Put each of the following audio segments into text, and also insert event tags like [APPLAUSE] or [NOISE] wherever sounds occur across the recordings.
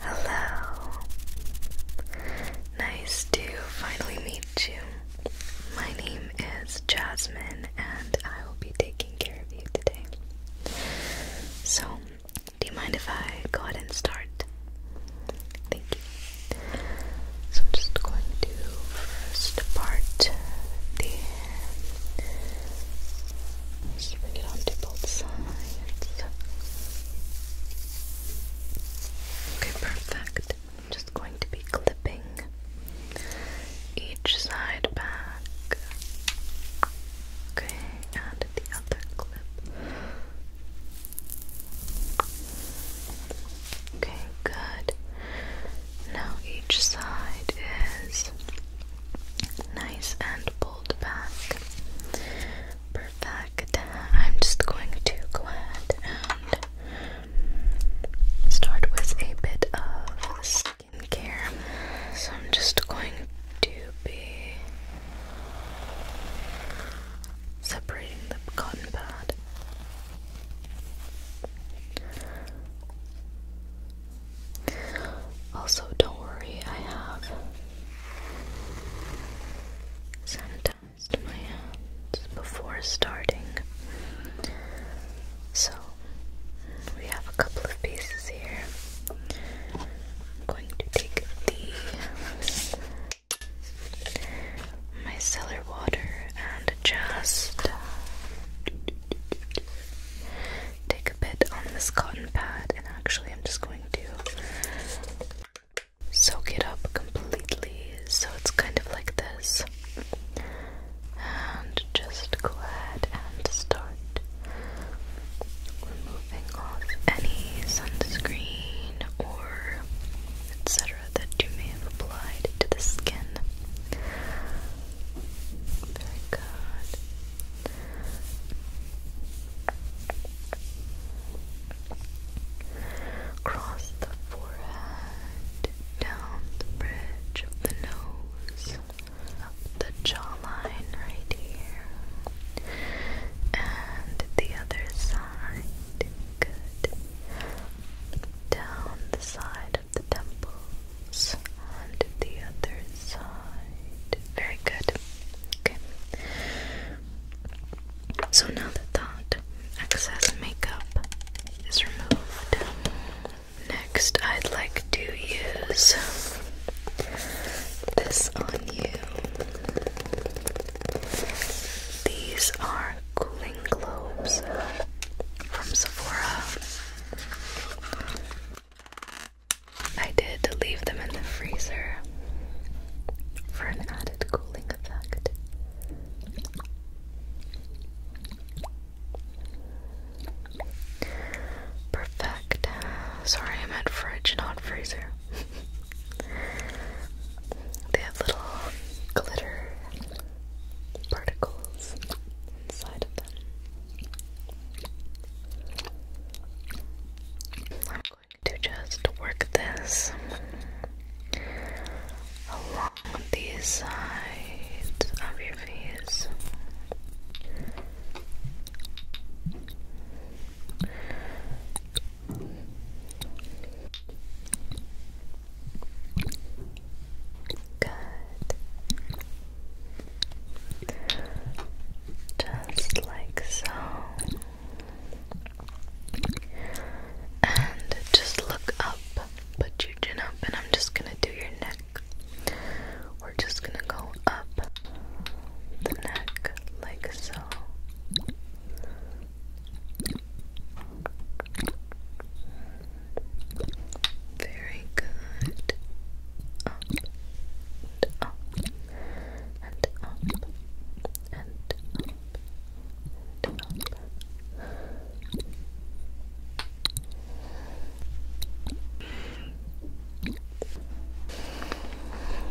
Hello. Nice to finally meet you. My name is Jasmine, and I will be taking care of you today. So, do you mind if I go ahead and start? Thank you. So, I'm just going to first part the bring it onto both sides. Okay, perfect. I'm just going to be clipping each side back. Okay, and the other clip. Okay, good. Now each side is nice and pulled back. Perfect. I'm just going to go ahead and start with a bit of skincare. So I'm just going to be separating the cotton pad. Also, don't worry, I have sanitized my hands before starting. So we have a couple of pieces here. I'm going to take these micellar water and just take a bit on this cotton pad and actually I'm just going soak it up completely. So it's kind of like this. And just go ahead and start removing off any sunscreen or etc. that you may have applied to the skin. Very good. Cross the forehead, down the bridge of the nose, up the jawline right here, and the other side. Good. Down the side of the temples, and the other side. Very good. Okay. So now that that excess makeup is removed, next I'd like to use this on you. These are cooling globes from Sephora. I did leave them in the freezer for an added cooling effect. Perfect. Sorry, I meant fridge, not freezer. [LAUGHS] they have little glitter particles inside of them to just work this along the sides of your face. Good just like so. And just look up, put your chin up, and I'm just gonna do your neck. We're just gonna go up the neck like so. Very good and up, and up, and up.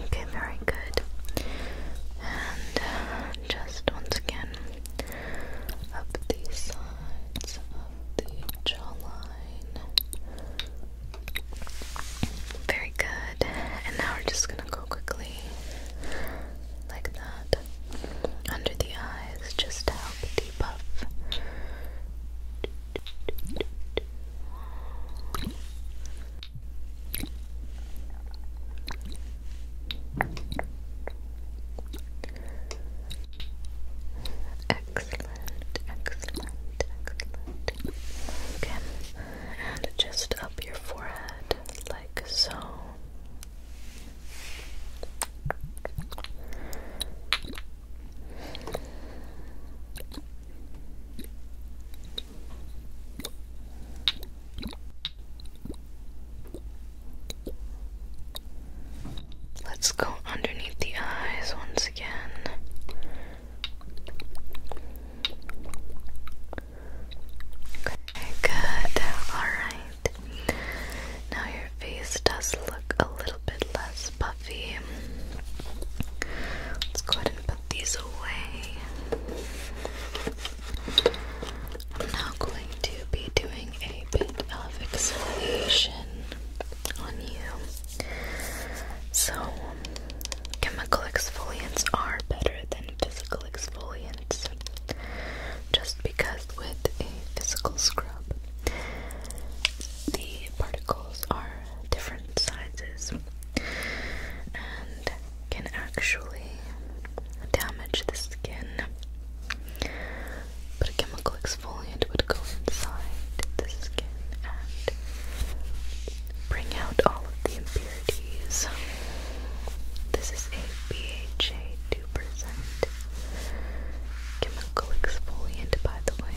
Okay, very good. And uh, just once again, up the sides of the jawline. Very good. And now we're just gonna go quickly like that under the eyes just to help debuff. Excellent, excellent, excellent. Okay and just up your forehead, like so. Let's go underneath the eyes once again good. Alright. Now your face does look a little bit less puffy. Let's go ahead and put these away. I'm now going to be doing a bit of exfoliation on you. So Chemical exfoliants are better than physical exfoliants just because with a physical scrub the particles are different sizes and can actually damage the skin. But a chemical exfoliant would go inside the skin and bring out all of the impurities. This is a BHA 2% chemical exfoliant, by the way.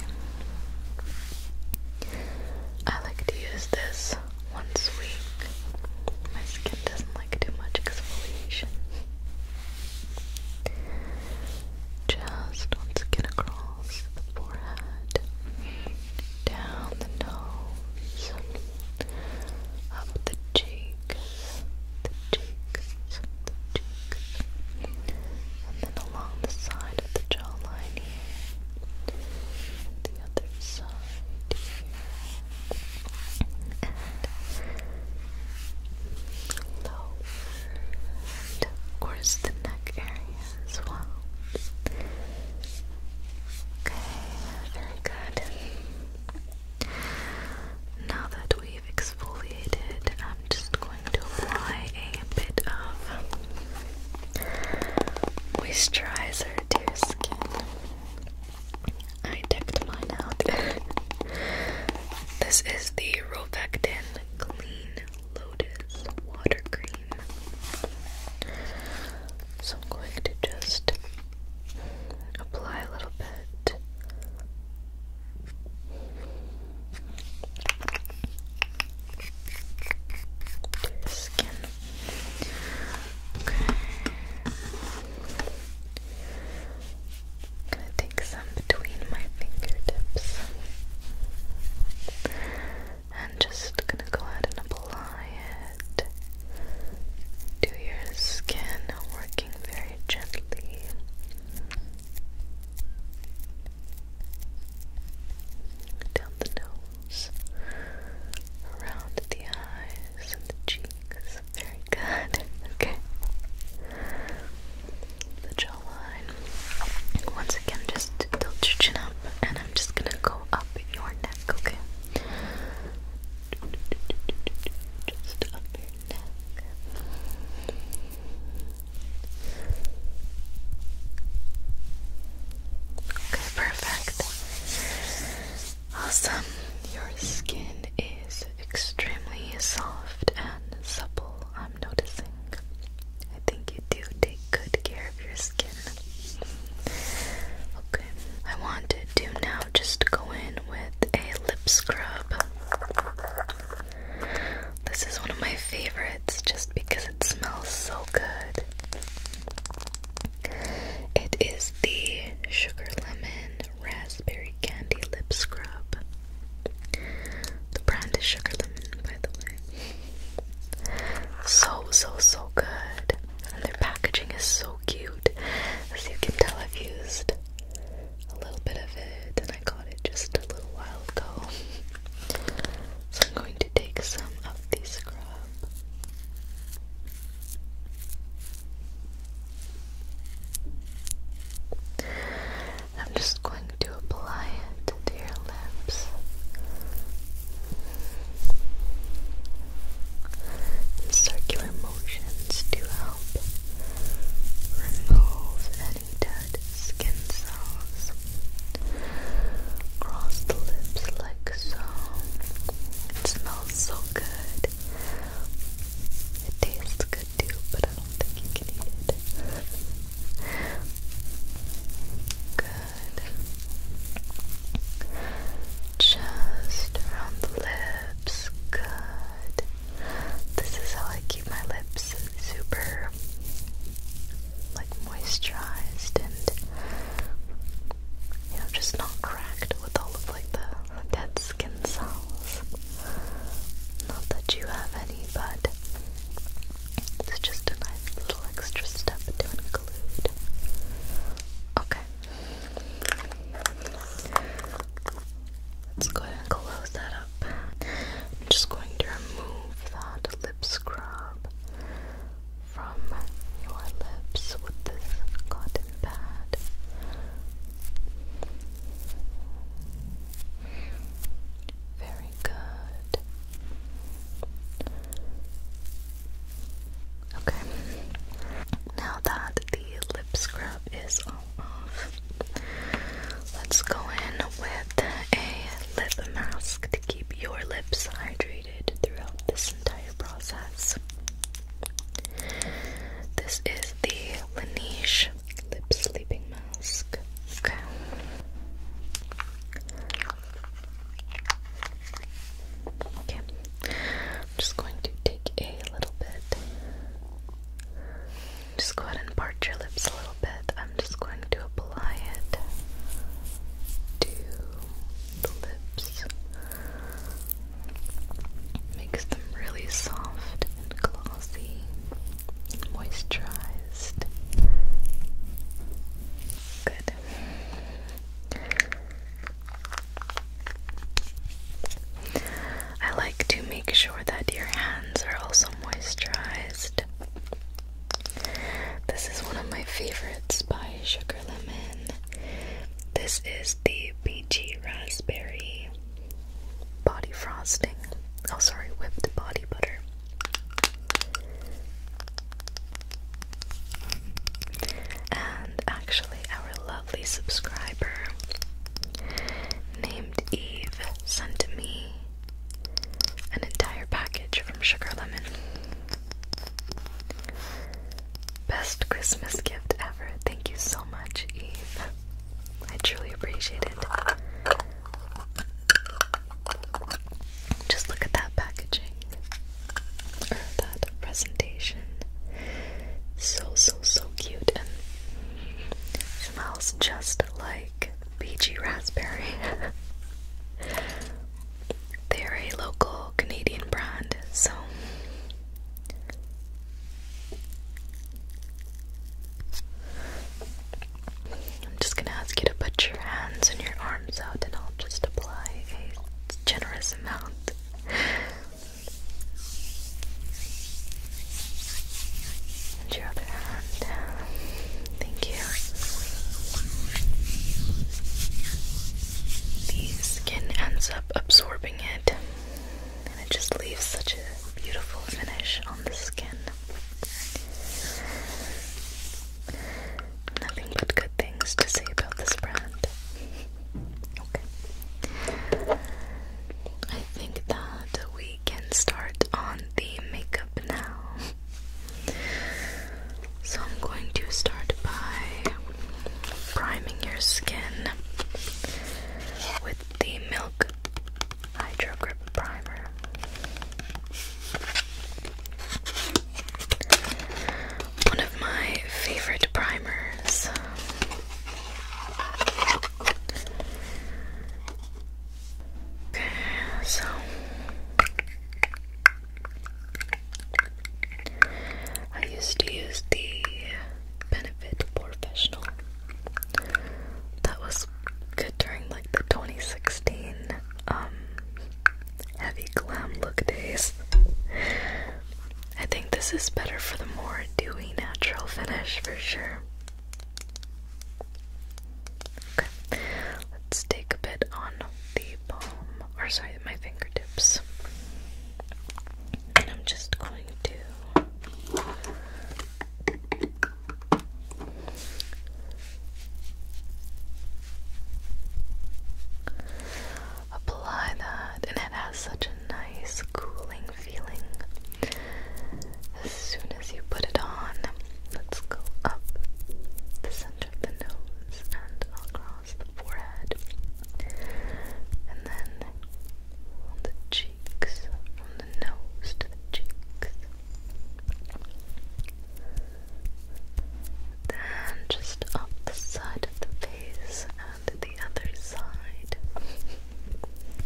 I like to use this once week. My skin doesn't like too much exfoliation. Just once again across the forehead, down the nose, up the cheeks, the cheeks, the cheeks, and then along the side of the jawline here, the other side here, and of course the neck area as well. Okay, very good. Now that we've exfoliated, I'm just going to apply a bit of moisturizer to skin. I decked mine out. [LAUGHS] this is the Rovectin Clean Lotus Water green. So I'm going to just apply a little bit. To your skin. Okay. gonna take some between my fingertips and just gonna go ahead and apply it to your skin, working very gently. Down the nose, around the eyes and the cheeks. Very good. [LAUGHS] Okay. The jawline. Once again, just tilt your chin up, and I'm just gonna go up your neck, okay? Just up your neck. Okay, perfect. Awesome. Your skin is extremely soft and supple, I'm noticing. I think you do take good care of your skin. Okay, I wanted to now just go in with a lip scrub. This is one of my favorites just because it smells so good. It is the Sugar Lemon Raspberry Candy Lip Scrub. The brand is Sugar Lemon, by the way. So, so, so good. And their packaging is so cute. As you can tell, I've used a little bit of it and I got it just a little while ago. So, I'm going to take some of the scrub. I'm just going to apply to your lips. circular motions to help remove any dead skin cells. Cross the lips like so. It smells so good. It tastes good too, but I don't think you can eat it. Good. Just around the lips. Good. This is how I keep my lips super like moisturized and you know just not cracked with all of like the dead skin cells. Not that you have any, but it's just a nice little extra step to include. Okay. Let's go ahead and close that up. I'm just going to remove that lip scrub from your lips with this cotton pad. Very good. Okay. Now that the lip scrub is off, let's go in with a lip mask to keep your lips hydrated throughout this entire process. This is the Laneige Lip Sleeping Mask. Okay. Okay, I'm just going to take a little bit. Just go ahead and part your lips a little bit. I'm just going to apply it to the lips. Makes them really soft and glossy moisturized. Good. I like to make sure that your hands are also moisturized. This is one of my favorites by Sugar Lemon. This is the peachy raspberry body frosting. Oh, sorry, whipped body butter. And actually, our lovely subscriber named Eve sent me an entire package from Sugar Lemon. Best Christmas gift ever. Thank you so much, Eve. I truly appreciate it. Just look at that packaging that presentation. So, so, so cute and smells just like BG Raspberry. [LAUGHS] They're a local Canadian brand, so. I'm just gonna ask you to put your hands and your arms out, and I'll just apply a generous amount. And your other hand. Thank you. The skin ends up absorbing it, and it just leaves such a beautiful finish on the skin nothing but good things to say about this brand. okay. I think that we can start on the makeup now. So I'm going to start by priming your skin with the Milk Hydro Grip Primer. One of my favorite primers. Okay, so I used to use the Benefit Professional. That was good during like the 2016 heavy glam look days. I think this is better for the more dewy natural finish for sure. Okay, let's take a bit on the palm, or sorry, my fingertips. And I'm just going to Apply that, and it has such a nice cooling feeling as soon as you put it on. Let's go up the center of the nose and across the forehead, and then on the cheeks, from the nose to the cheeks. Then just up the side of the face and the other side.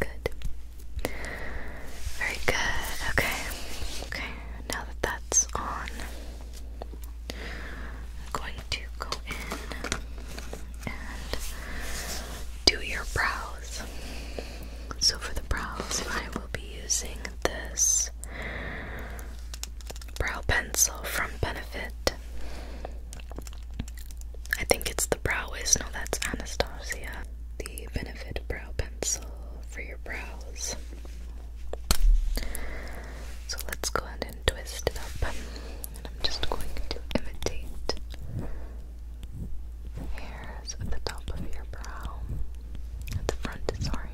good. Very good. Okay. Okay. Now that that's on, I'm going to go in and do your brows. So for the brows, I will be using this brow pencil from Benefit. I think it's the brow waste. No, that's Anastasia. The Benefit brow pencil for your brows. So let's go ahead and twist it up. And I'm just going to imitate hairs at the top of your brow. At the front, sorry.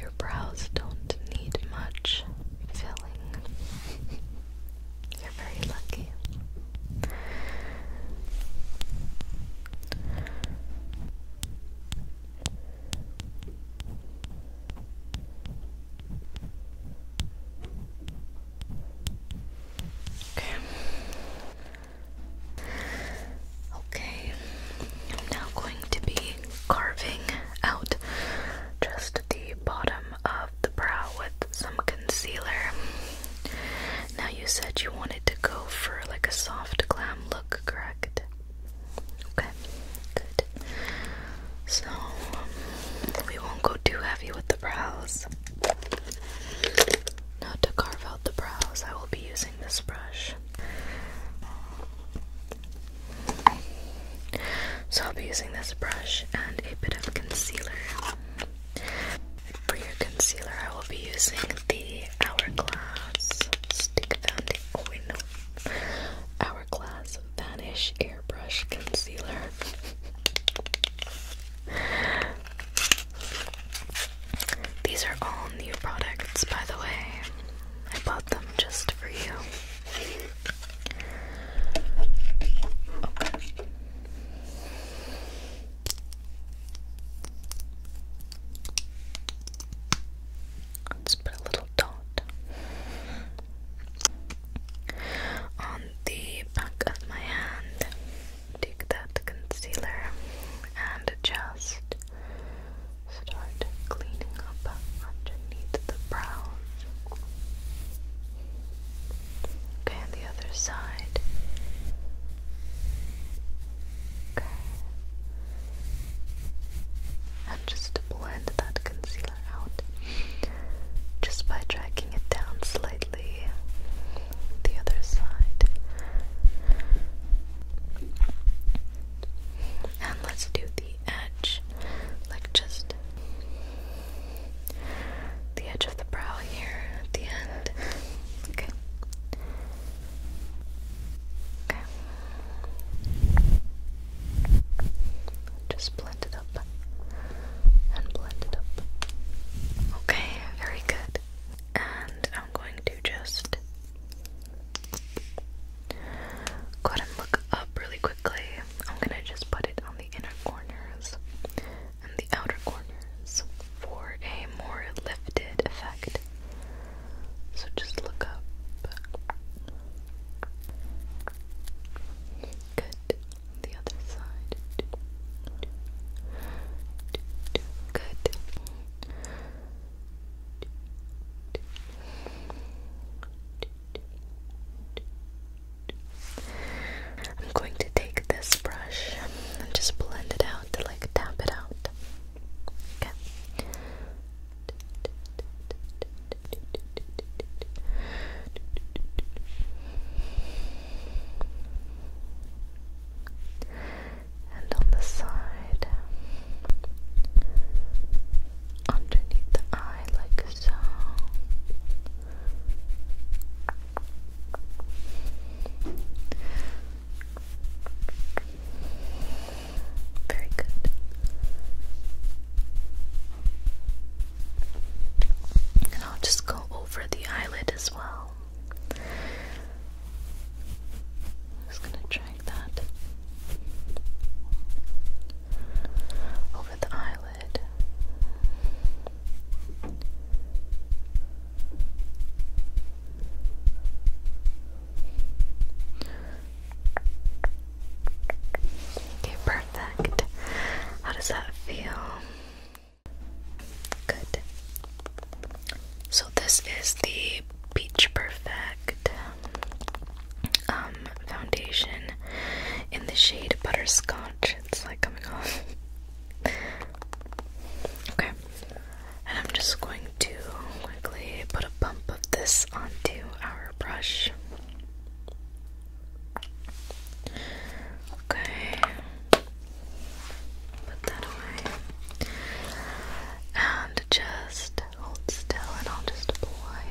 Your brows don't need much filling. You're very lucky. Okay. Okay. I'm now going to be carving out just the bottom of the brow with some concealer. Now you said you wanted to go for like a soft glam look, correct? Okay. Good. So we won't go too heavy with the brows. Now to carve out the brows, I will be using this brush. So I'll be using this brush and a bit of concealer. For your concealer, I will be using the Hourglass Stick Foundation. Oh, Hourglass Vanish Air airbrush concealer. These are all new products, by the way. I bought them just for you. Let's put a little dot on the back of my hand. Take that concealer and just start cleaning up underneath the brows. Okay, on the other side. Okay. And just blend that concealer just by dragging it down slightly the other side. And let's do the edge, like just the edge of the brow here at the end. Okay. Okay. Just blend it Okay, very good. And I'm going to just go ahead and look up really quickly. I'm gonna just put it on the inner corners and the outer corners for a more lifted effect. So just look up. Good on the other side. Good. I'm going to take this brush and just blend it out to like tap it out. Okay. And on the side, underneath the eye, like so. Very good. And I'll just go over the eyelid as well. just gonna drag that over the eyelid. Okay, perfect. How does that feel? Good. So this is the Peach Perfect um, foundation in the shade Butterscotch. It's like coming off. okay. And I'm just going to quickly put a bump of this onto our brush. Okay. Put that away. And just hold still and I'll just apply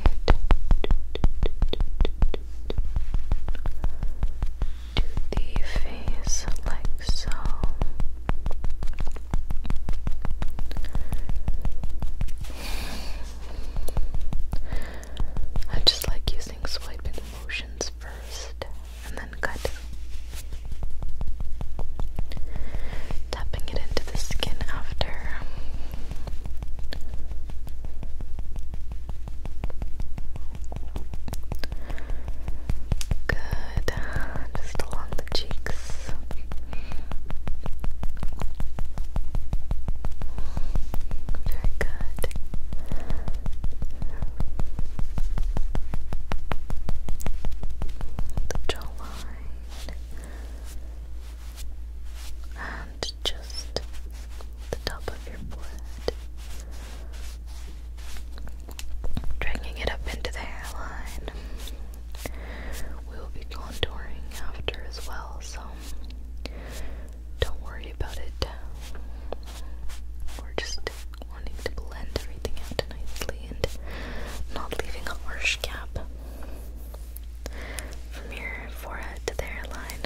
the face like so. I just like using swiping motions first and then cut. Tapping it into the skin after. Good. Just along the cheeks. Very good. The jawline. And just the top of your forehead. Dragging it up into the hairline. We will be contouring after as well, so don't worry about it. We're just wanting to blend everything out nicely and not leaving a harsh gap from your forehead to the hairline.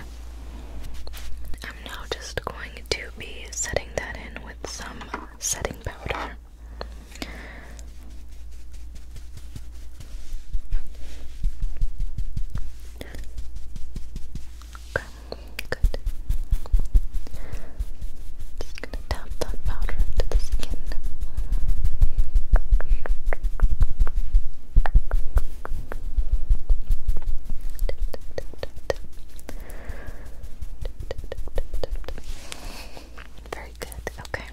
I'm now just going to be setting that in with some setting powder. Okay, good. Just gonna tap that powder into the skin. Very good. Okay.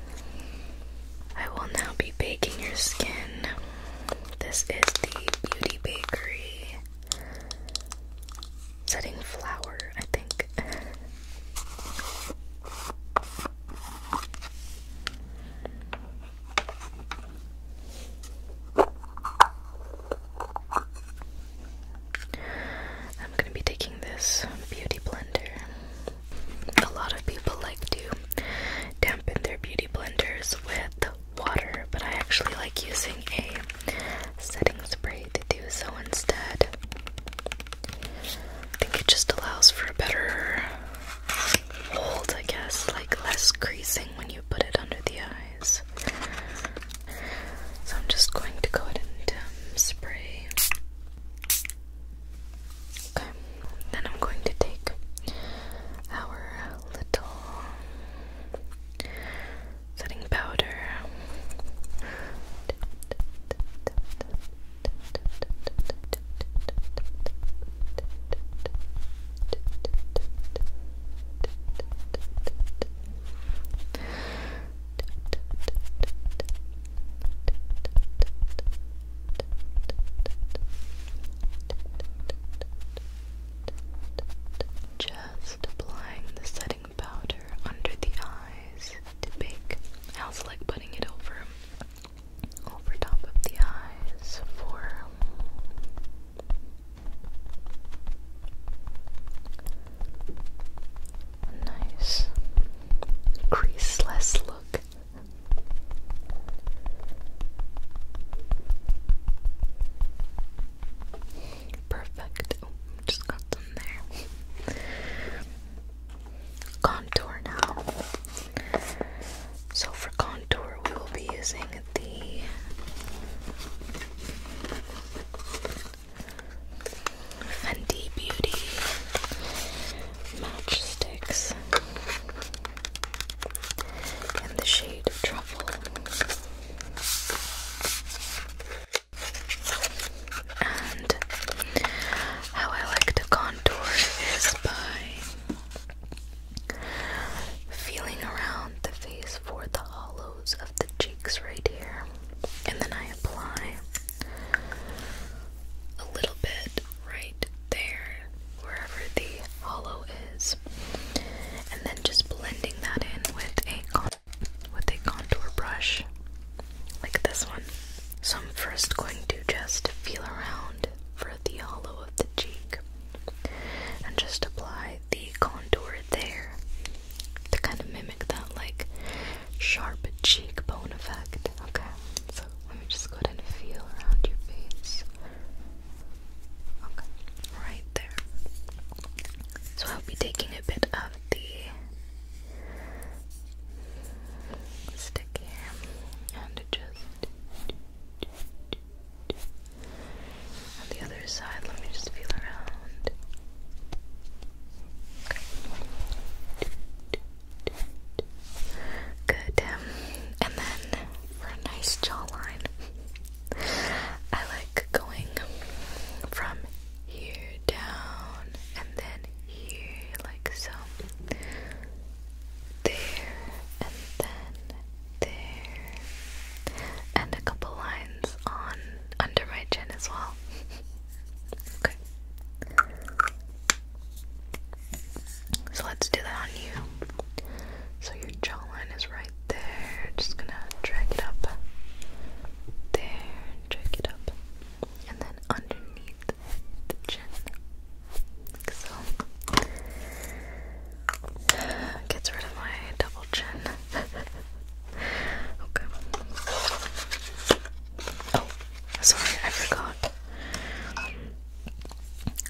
I will now be baking your skin this is the Beauty Bakery setting flower, I think. I'm going to be taking this beauty blender. A lot of people like to dampen their beauty blenders with water, but I actually like using a setting spray to do so instead. I think it just allows for a better hold, I guess, like less creasing when you put it under the eyes. So I'm just going to go ahead and um, spray. Okay, then I'm going to take our little setting powder. Just applying the setting powder under the eyes to bake. I also like putting it over over top of the eyes for nice creaseless look. Perfect. Oh, just got some there. Contour now. So for contour, we will be using the Fenty Beauty matchsticks in the shade Truffle. And how I like to contour is by feeling around the face for the hollows of the cheeks right here. And then I apply a little bit right there wherever the hollow is, and then just blending that in with a with a contour brush like this one. So I'm first going to just feel around for the hollow of the cheek and just apply the contour there to kind of mimic that like sharp cheekbone effect. Okay, so let me just go and feel around your face. Okay, right there. So I'll be taking a bit of the stick and just on the other side. Let me just feel around. Good. Um, and then for a nice jawline. I like going from here down and then here, like so. There and then there, and a couple lines on under my chin as well. [LAUGHS] okay. So let's do that on you. So your jawline is right there. Just gonna drag it up. There, drag it up. And then underneath the chin. Like Gets rid of my double chin. [LAUGHS] okay. Oh, sorry, I forgot.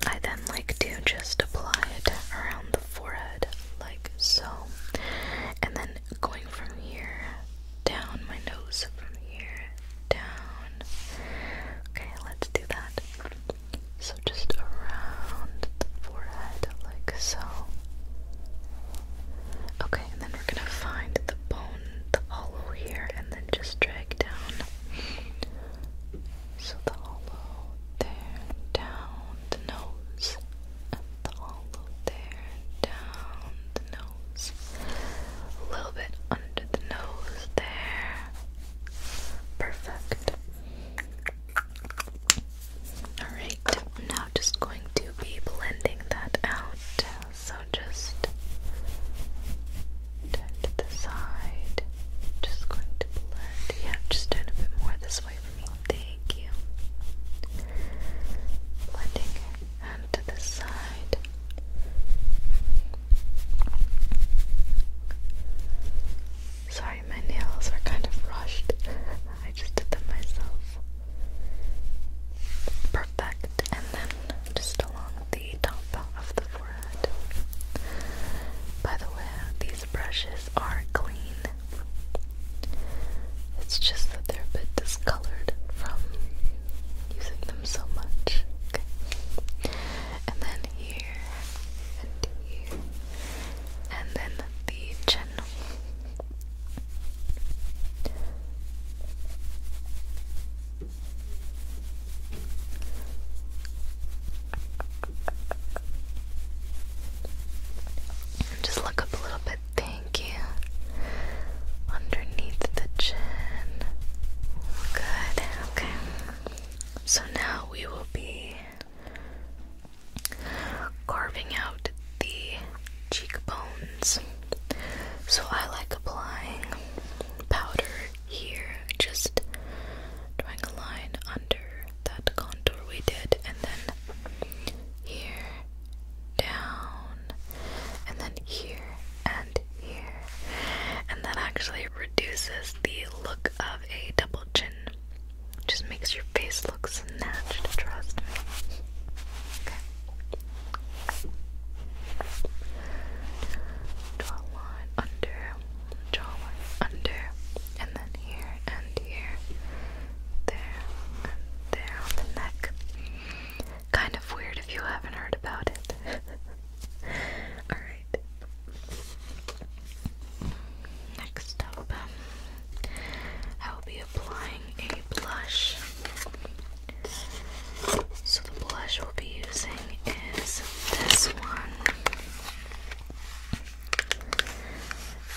I then like to just apply it around the forehead, like so. And then going from here down my nose, from here down. Okay, let's do that. So just around the forehead, like so. Okay, and then we're gonna find the bone, the hollow here, and then just drag down. So the hollow there, down the nose, and the hollow there, down the nose, a little bit under the nose there. Perfect. Alright, now just going to be blending that out. So just to the side. Just going to blend. Yeah, just a bit more this way for me. Thank you. Blending and to the side. Sorry, my nails are kind of rushed. I just did them myself. Perfect. And then just along the top of the forehead. By the way, these brushes are clean. It's just that they're a bit discolored from using them so much. And then here, and here, and then the chin. Just look up a little bit, thank you. Underneath the chin. Good, okay. So now we will be carving out the cheekbones. So I like applying powder here, just drawing a line under that contour we did, and then here, down, and then here, and here. And that actually reduces the look of a double chin. Just makes your face look snatched, trust me. Draw a line under jawline under and then here and here, there and there on the neck. Kind of weird if you haven't heard about it. [LAUGHS] Alright. Next up, um, I will be applying a blush. So, the blush we'll be using is this one.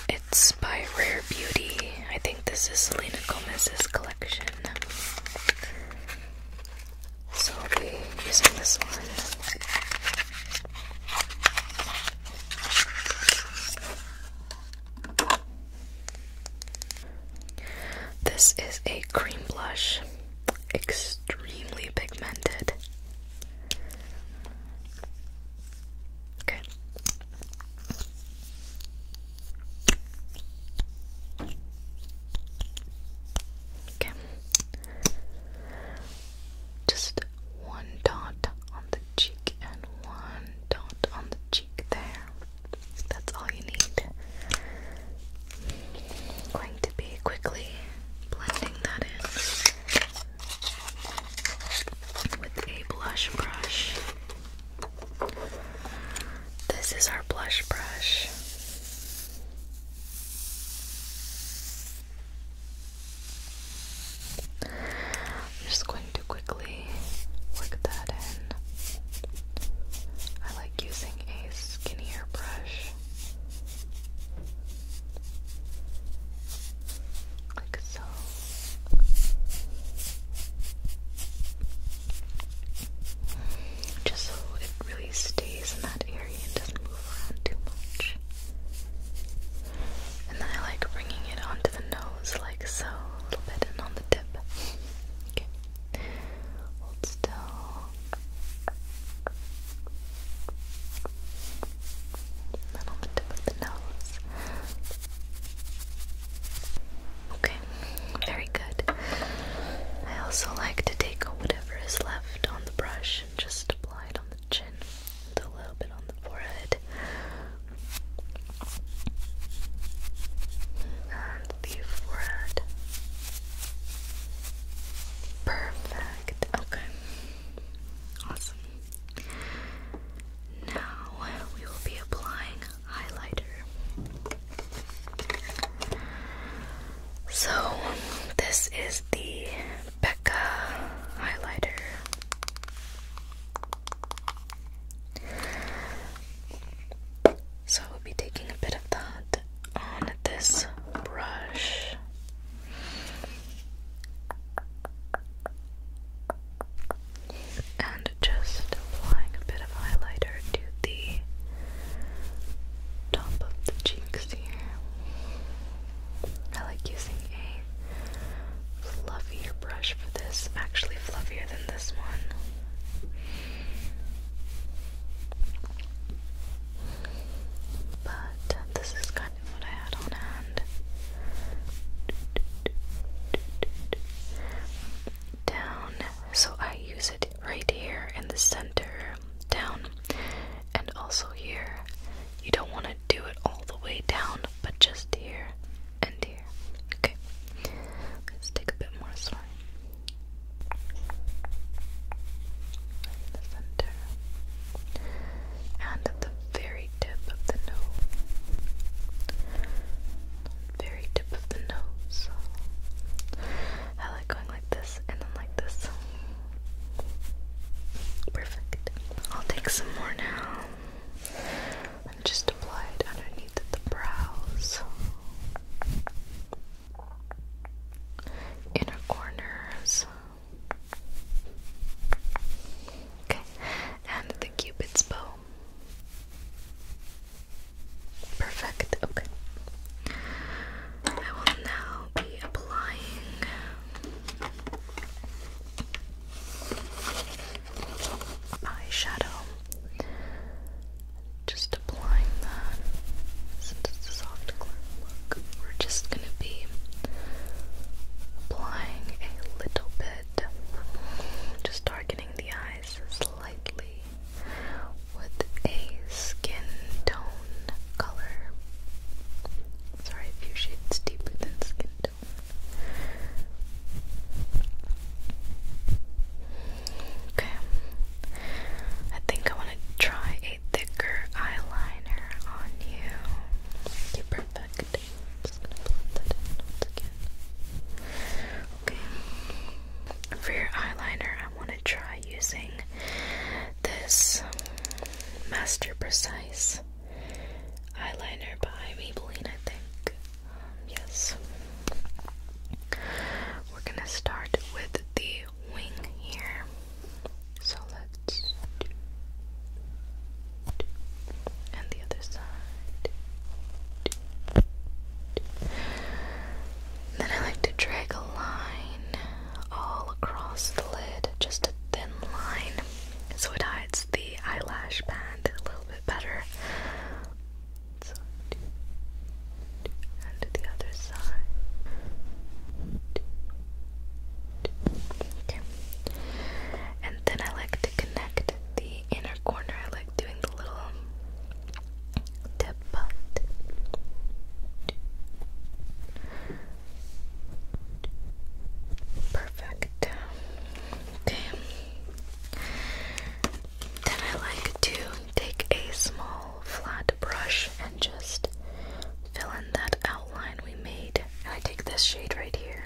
It's by Rare Beauty. I think this is Selena Gomez's collection. So I'll be using this one. This is a cream blush, extremely pigmented. Okay. Okay. Just one dot on the cheek and one dot on the cheek there. That's all you need. Going to be quickly blending that in with a blush brush. This is our blush brush. just going to quickly work that in. I like using a skinnier brush like so. Just so it really stays in that area and doesn't move around too much. And then I like bringing it onto the nose, like so, a little bit, and on the tip. Okay. Hold still. And on the tip of the nose. Okay, very good. I also like to take whatever is left on the brush and just apply it on the chin and a little bit on the forehead. the forehead. Perfect. Okay. Awesome. Now we will be applying highlighter. So this is the Becca highlighter. So I will be taking a bit of that on this brush. And just applying a bit of highlighter to the top of the cheeks here. I like using a fluffier brush for this, actually, fluffier than this one. But this is kind of what I had on hand. Down. So I use it right here in the center, down, and also here. You don't want to do it all the way down, but just here and here. Okay, let's take a bit more right the center, and at the very tip of the nose. Very tip of the nose. I like going like this and then like this. Perfect. I'll take some more now and just apply it underneath the brows inner corners. Okay, and the cupid's bow. Perfect, okay. I will now be applying eyeshadow. Just applying that since it's a soft gloss we're just gonna be applying a little bit, just darkening the eyes slightly with a skin tone color. Sorry, a few shades deeper than skin tone. Okay, I think I want to try thicker eyeliner on you. perfect. i Okay. For your eyeliner, I want to try using this Master Precise eyeliner by Maybelline, I think. Um, yes. We're gonna start with the wing here. So let's do, and the other side. Then I like to drag a line all across the lid, just a thin line, so it hides the eyelash band a little bit better. and the other side. And then I like to connect the inner corner. I like doing the little tip butt. Perfect. Okay. Then I like to take a small flat brush and just fill in that outline we made. And I take this shade right here.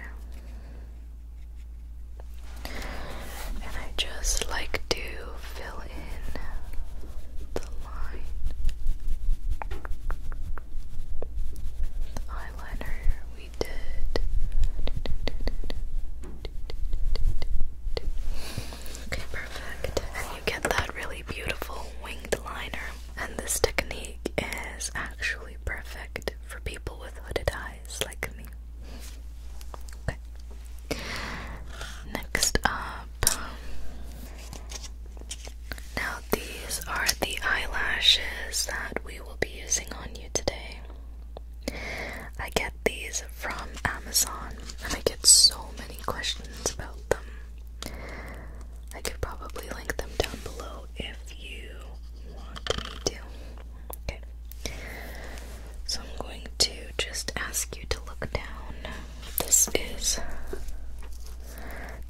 And I just like to fill in the line. The eyeliner we did. Okay, perfect. And you get that really beautiful winged liner. And this technique is actually perfect for people with hooded eyes like me. Okay. Next up. Now, these are the eyelashes that we will be using on you today. I get these from Amazon, and I get so many questions about I could probably link them down below if you want me to. Okay. So I'm going to just ask you to look down. This is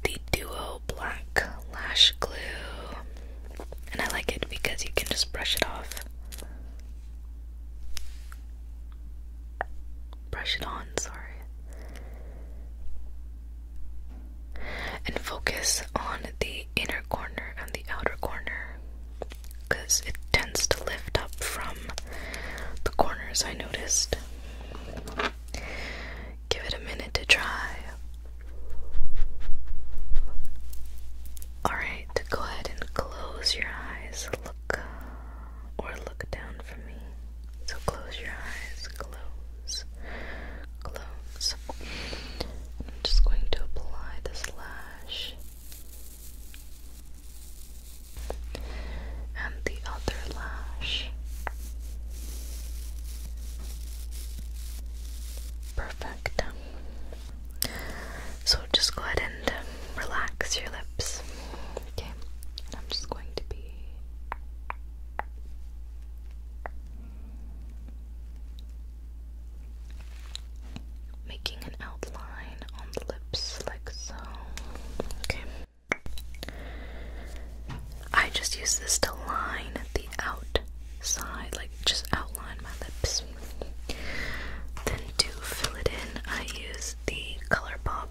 the Duo Black Lash Glue. And I like it because you can just brush it off brush it on, sorry. And focus on the inner corner and the outer corner because it tends to lift up from the corners. I noticed. Give it a minute to dry. Alright, go ahead and close your eyes. Look or look down for me. So close your eyes, close, close. I'm just going to apply this lash and the other lash. Perfect. So just go ahead and relax your lips. Okay. I'm just going to be Making an outline on the lips like so. Okay. I just use this to line the outside, like just outline my lips. Then to fill it in, I use the ColourPop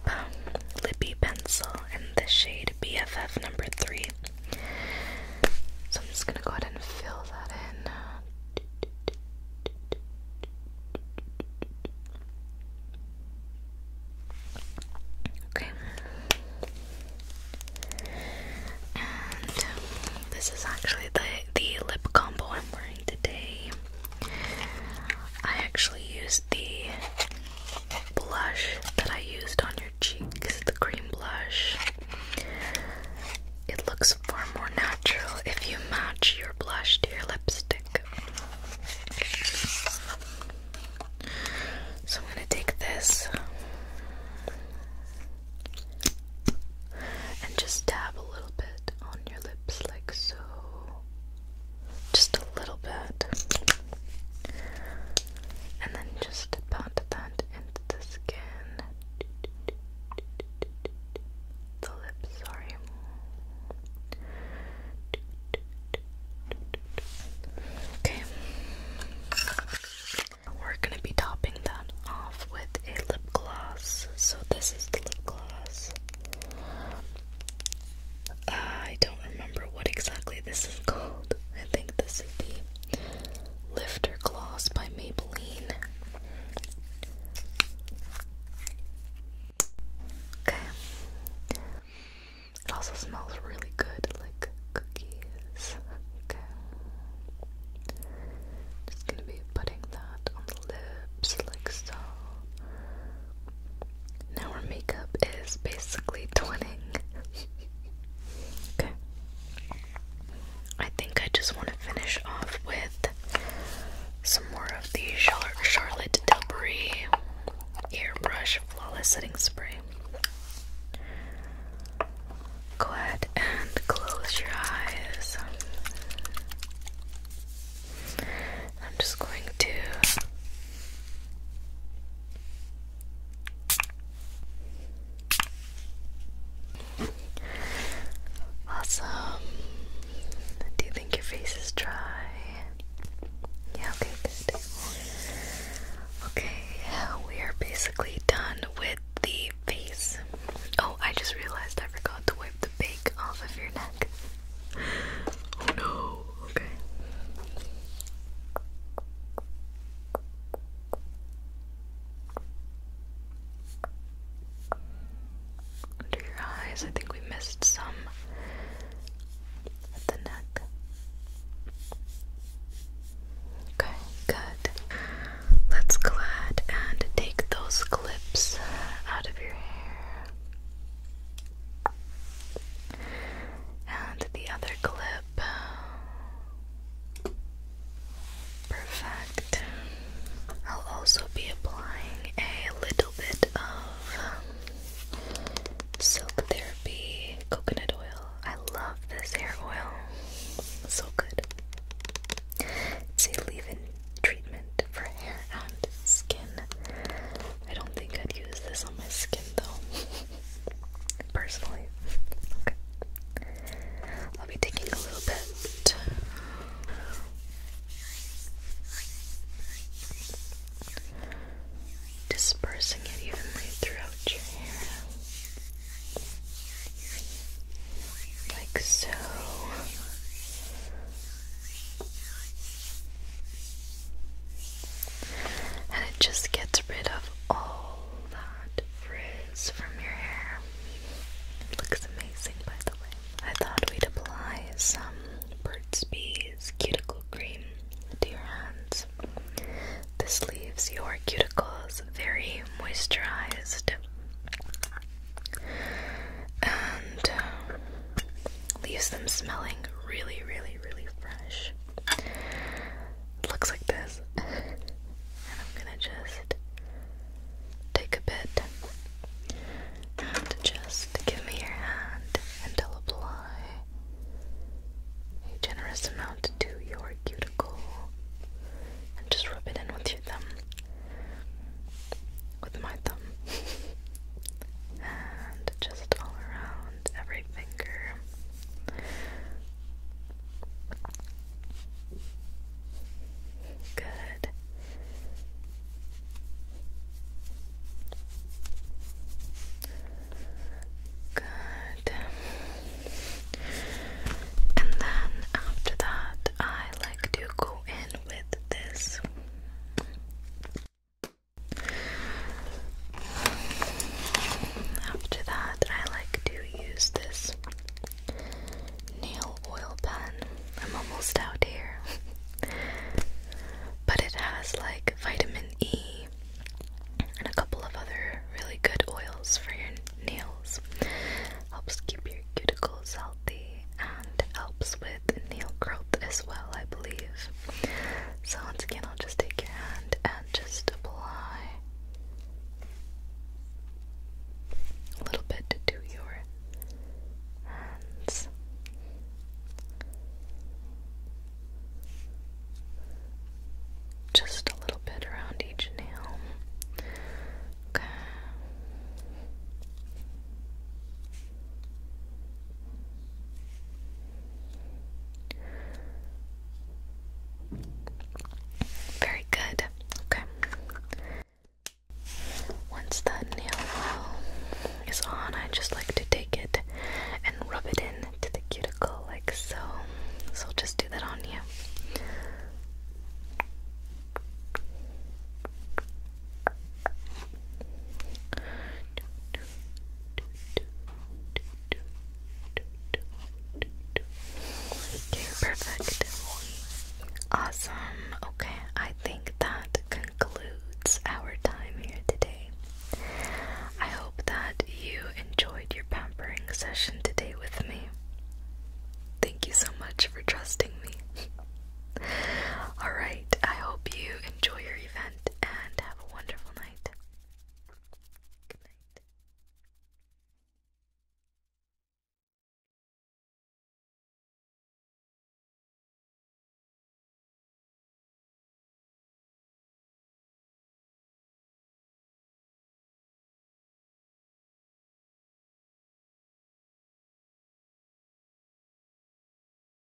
Lippy Pencil Candle in the shade BFF number 3. So I'm just going to go ahead and fill that in. Okay. And this is actually the the lip combo I'm wearing today. I actually used the blush that I used on your cheeks, the cream blush. It looks far more natural if you match your blush to your lipstick. So I'm going to take this and just dab a little bit on your lips, like so just a little bit, and then just pat that into the skin, the lips. Sorry. Okay, we're gonna be topping that off with a lip gloss. So this is the lip gloss. Uh, I don't remember what exactly this is called. I think this is the Lifter Gloss by Maybelline. Okay. It also smells really good, like cookies. Okay. Just gonna be putting that on the lips, like so. Now our makeup is basically twinning. okay. I think I just want to finish off with some more of the Charlotte Tilbury Airbrush Flawless Setting Spray. Go ahead and close your eyes. I'm just going to Awesome. Do you think your face is dry? Yeah, okay, good. Okay, we are basically done with the face. Oh, I just realized I forgot to wipe the bake off of your neck. Oh no, okay. Under your eyes, I think we missed some at the neck. Okay, good. Let's go ahead and take those clips out of your hair. And the other clip. Perfect. I'll also be applying a little bit of Silk Therapy coconut oil. I love this hair oil. so good. It's a leave in treatment for hair and skin. I don't think I'd use this on my skin though. [LAUGHS] Personally. Okay. I'll be taking a little bit. Dispersing it evenly throughout your hair. Like so. And it just gets rid of all that frizz from your hair. looks amazing, by the way. I thought we'd apply some Burt's Bees cuticle cream to your hands. This leaves your cuticles very moisturized. And um, Leaves them smelling really, really, really fresh. Looks like this. [LAUGHS] and I'm gonna just take a bit just give me your hand and I'll apply a generous amount to your cuticle and just rub it in with your thumb. With my thumb and just all around every finger. Good. Good. And then after that, I like to go in with this after that, I like to use this nail oil pen. I'm almost out here. but it has like vitamin E and a couple of other really good oils for your nails. Helps keep your cuticles healthy and helps with nail growth as well, I believe. So once again, I'll just take your hand and just apply a little bit to your hands. Just a little bit around each nail. Okay. Very good. Okay. Once that nail oil is on, I just like to take it and rub it in the cuticle like so. So I'll just do that on you perfect. Awesome. Okay, I think that concludes our time here today. I hope that you enjoyed your pampering session today with me. Thank you so much for trusting me. [LAUGHS] Alright, I hope you enjoy your event and have a wonderful night. Good night.